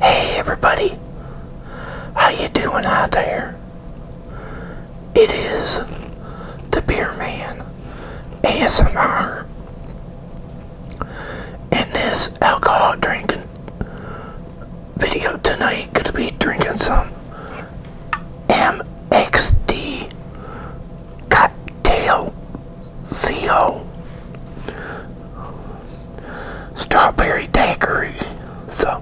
Hey everybody, how you doing out there? It is the Beer Man ASMR, and this alcohol drinking video tonight gonna be drinking some MXD cocktail CO strawberry daiquiri. So,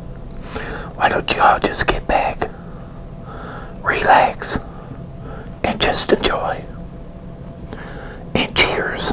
why don't you all just get back, relax, and just enjoy? And cheers.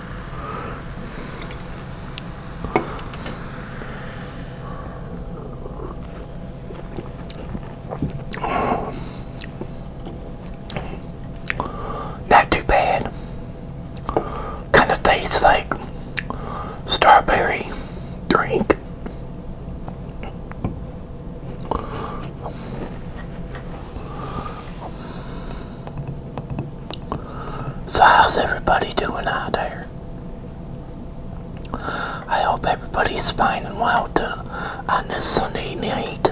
Not too bad. Kind of tastes like strawberry drink. So, how's everybody doing out there? I hope everybody's finding well too, on this Sunday night.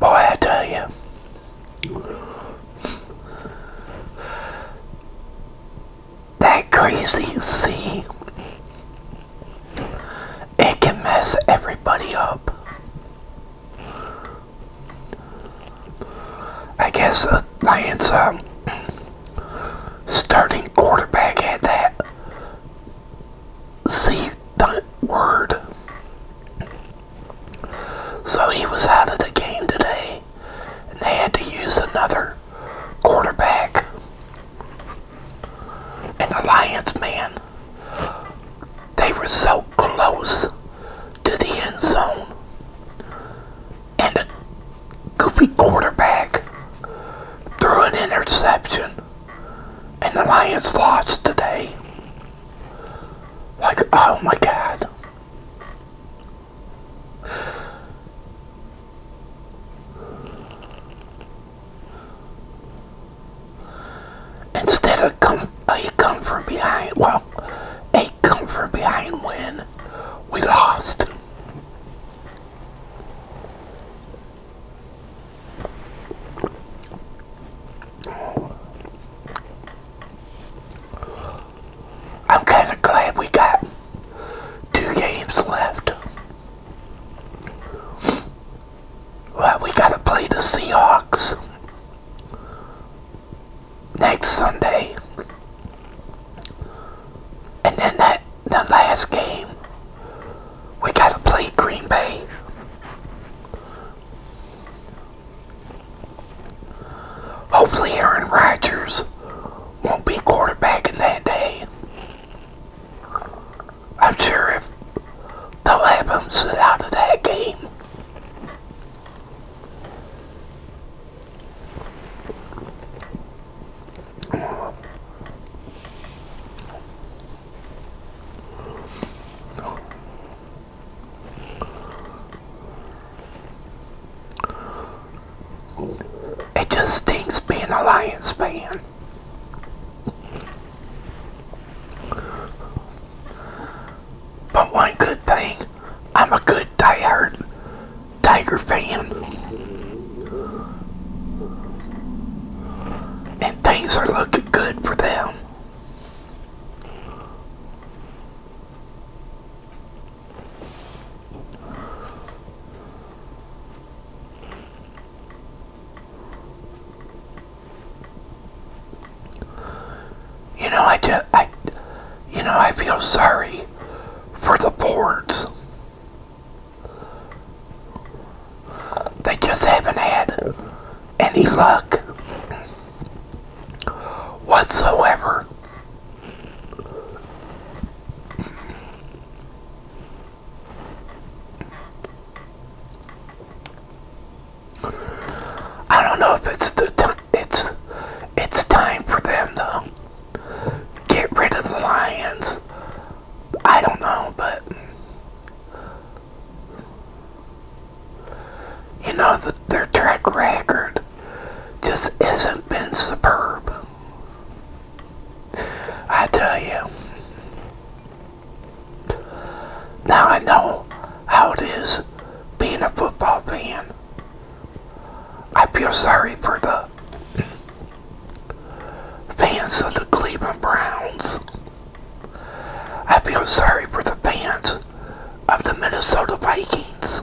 Boy, I tell you. That crazy sea it can mess everybody up. I guess the Lions um, starting quarterback had that C word. So he was out of the game today, and they had to use another quarterback, an alliance man. They were so close to the end zone. And a goofy quarterback threw an interception. And the Lions lost today. Like, oh my God. Instead of come, a come from behind, well, a come from behind when we lost. I'm kind of glad we got two games left. Well, we got to play the Seahawks next Sunday. And then that the last game, we got to play Green Bay. Hopefully Aaron Rodgers won't be quarterbacking that day. I'm sure if they'll have him sit out of that game. It just stinks being a Lions fan. But one good thing, I'm a good Tiger fan. And things are looking good for them. You know, I just, I, you know, I feel sorry for the boards. They just haven't had any luck whatsoever. I don't know if it's the time it's it's time for them to get rid of the lions. I don't know, but you know the, their track record just isn't been superb. I tell you. Now I know how it is being a football fan. I feel sorry for the fans of the Cleveland Browns. I feel sorry for the fans of the Minnesota Vikings.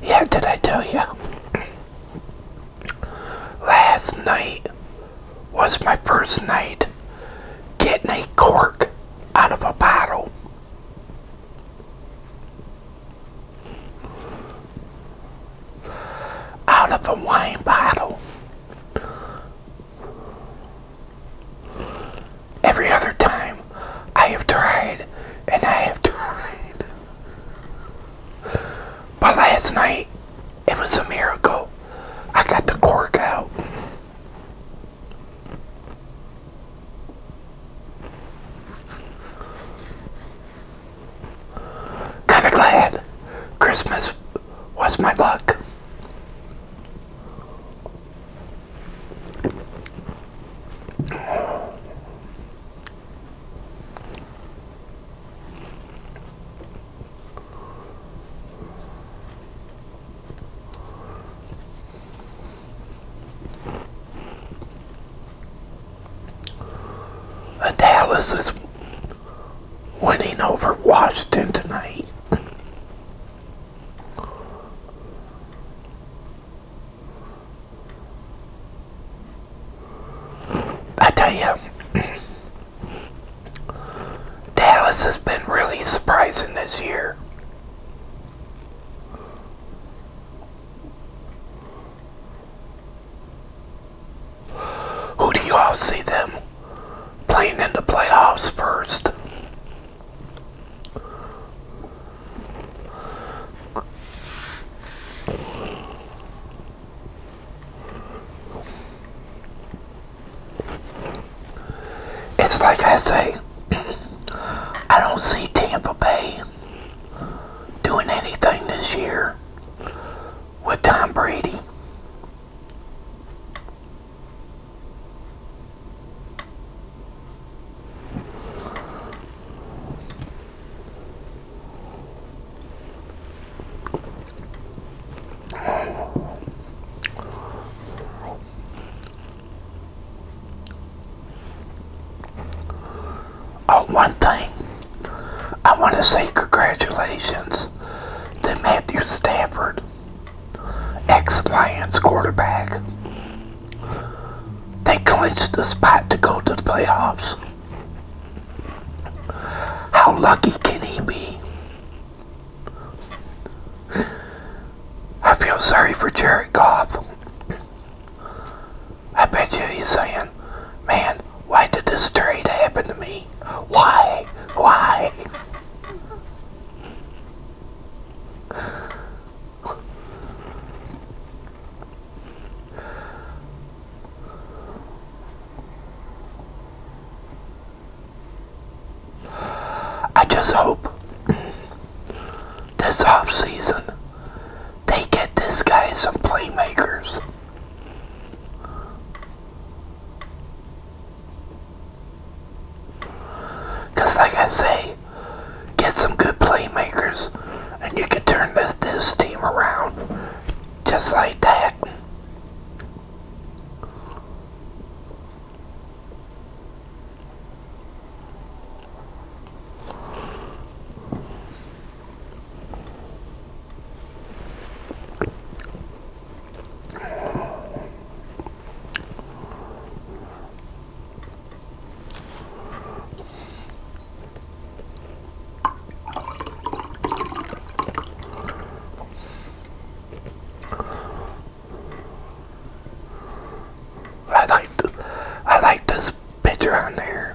Yeah, did I tell you? last night was my first night getting a cork out of a bottle. Out of a wine bottle. Every other time I have tried and I have tried. But last night, it was a miracle. I got the cork out. Kind of glad Christmas was my luck. Dallas is winning over Washington tonight. I tell you, Dallas has been really surprising this year. Who do you all see them playing in the playoffs first? It's like I say, I don't see Tampa Bay doing anything this year with Tom Brady. Oh, one thing. I want to say congratulations to Matthew Stafford, ex-Lions quarterback. They clinched the spot to go to the playoffs. How lucky can he be? I feel sorry for Jared Goff. I bet you he's saying, man, why did this trade happen to me? Why? Why? I just hope this off season they get this guy some playmakers. Cause like I say, get some good playmakers, and you can turn this, team around just like that. I like I like this picture on there.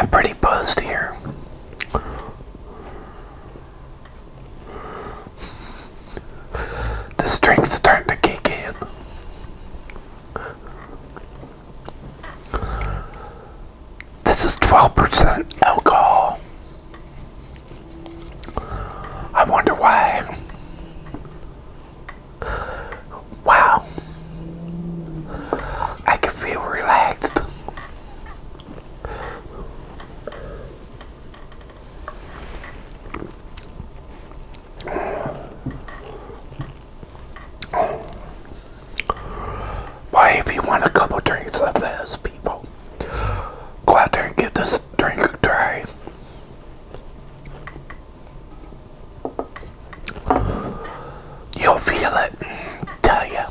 I'm pretty buzzed here. The strength's starting to kick in. This is 12% alcohol. I wonder why. Wow. I can feel relaxed. Why, if you want a couple drinks of this, people, go out there and get this drink a try. You'll feel it, tell ya.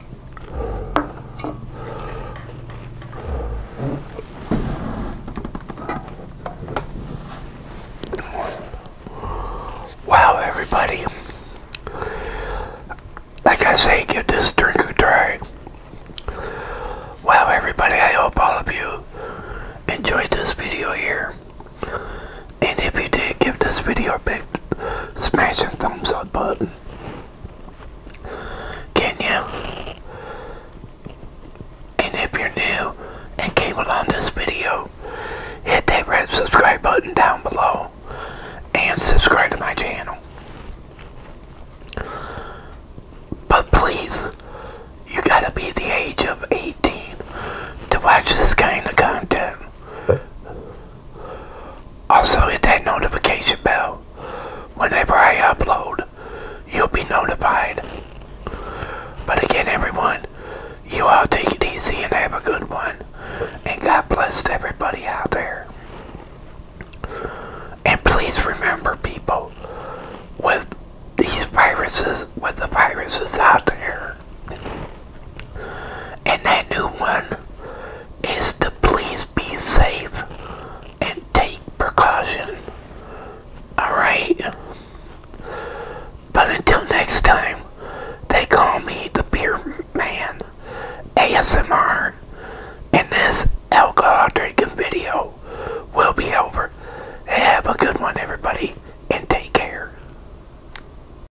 Wow, everybody. Like I say, give this drink a try. Wow, everybody, I hope all of you enjoyed this video here. And if you did, give this video a big smashing thumbs up button. Can you? And if you're new and came along this video, hit that red subscribe button down below and subscribe to my channel. But please, you gotta be the age of 18 to watch this kind of content. Also hit that notification bell. Whenever I upload, you'll be notified. But again, everyone, you all take it easy and have a good one. And God bless everybody out there. And please remember, people, with these viruses, with the viruses out there, and that new one is to please be safe and take precaution. Alright? But until next time, they call me the Beer Man ASMR. And this alcohol drinking video will be over. Have a good one, everybody, and take care.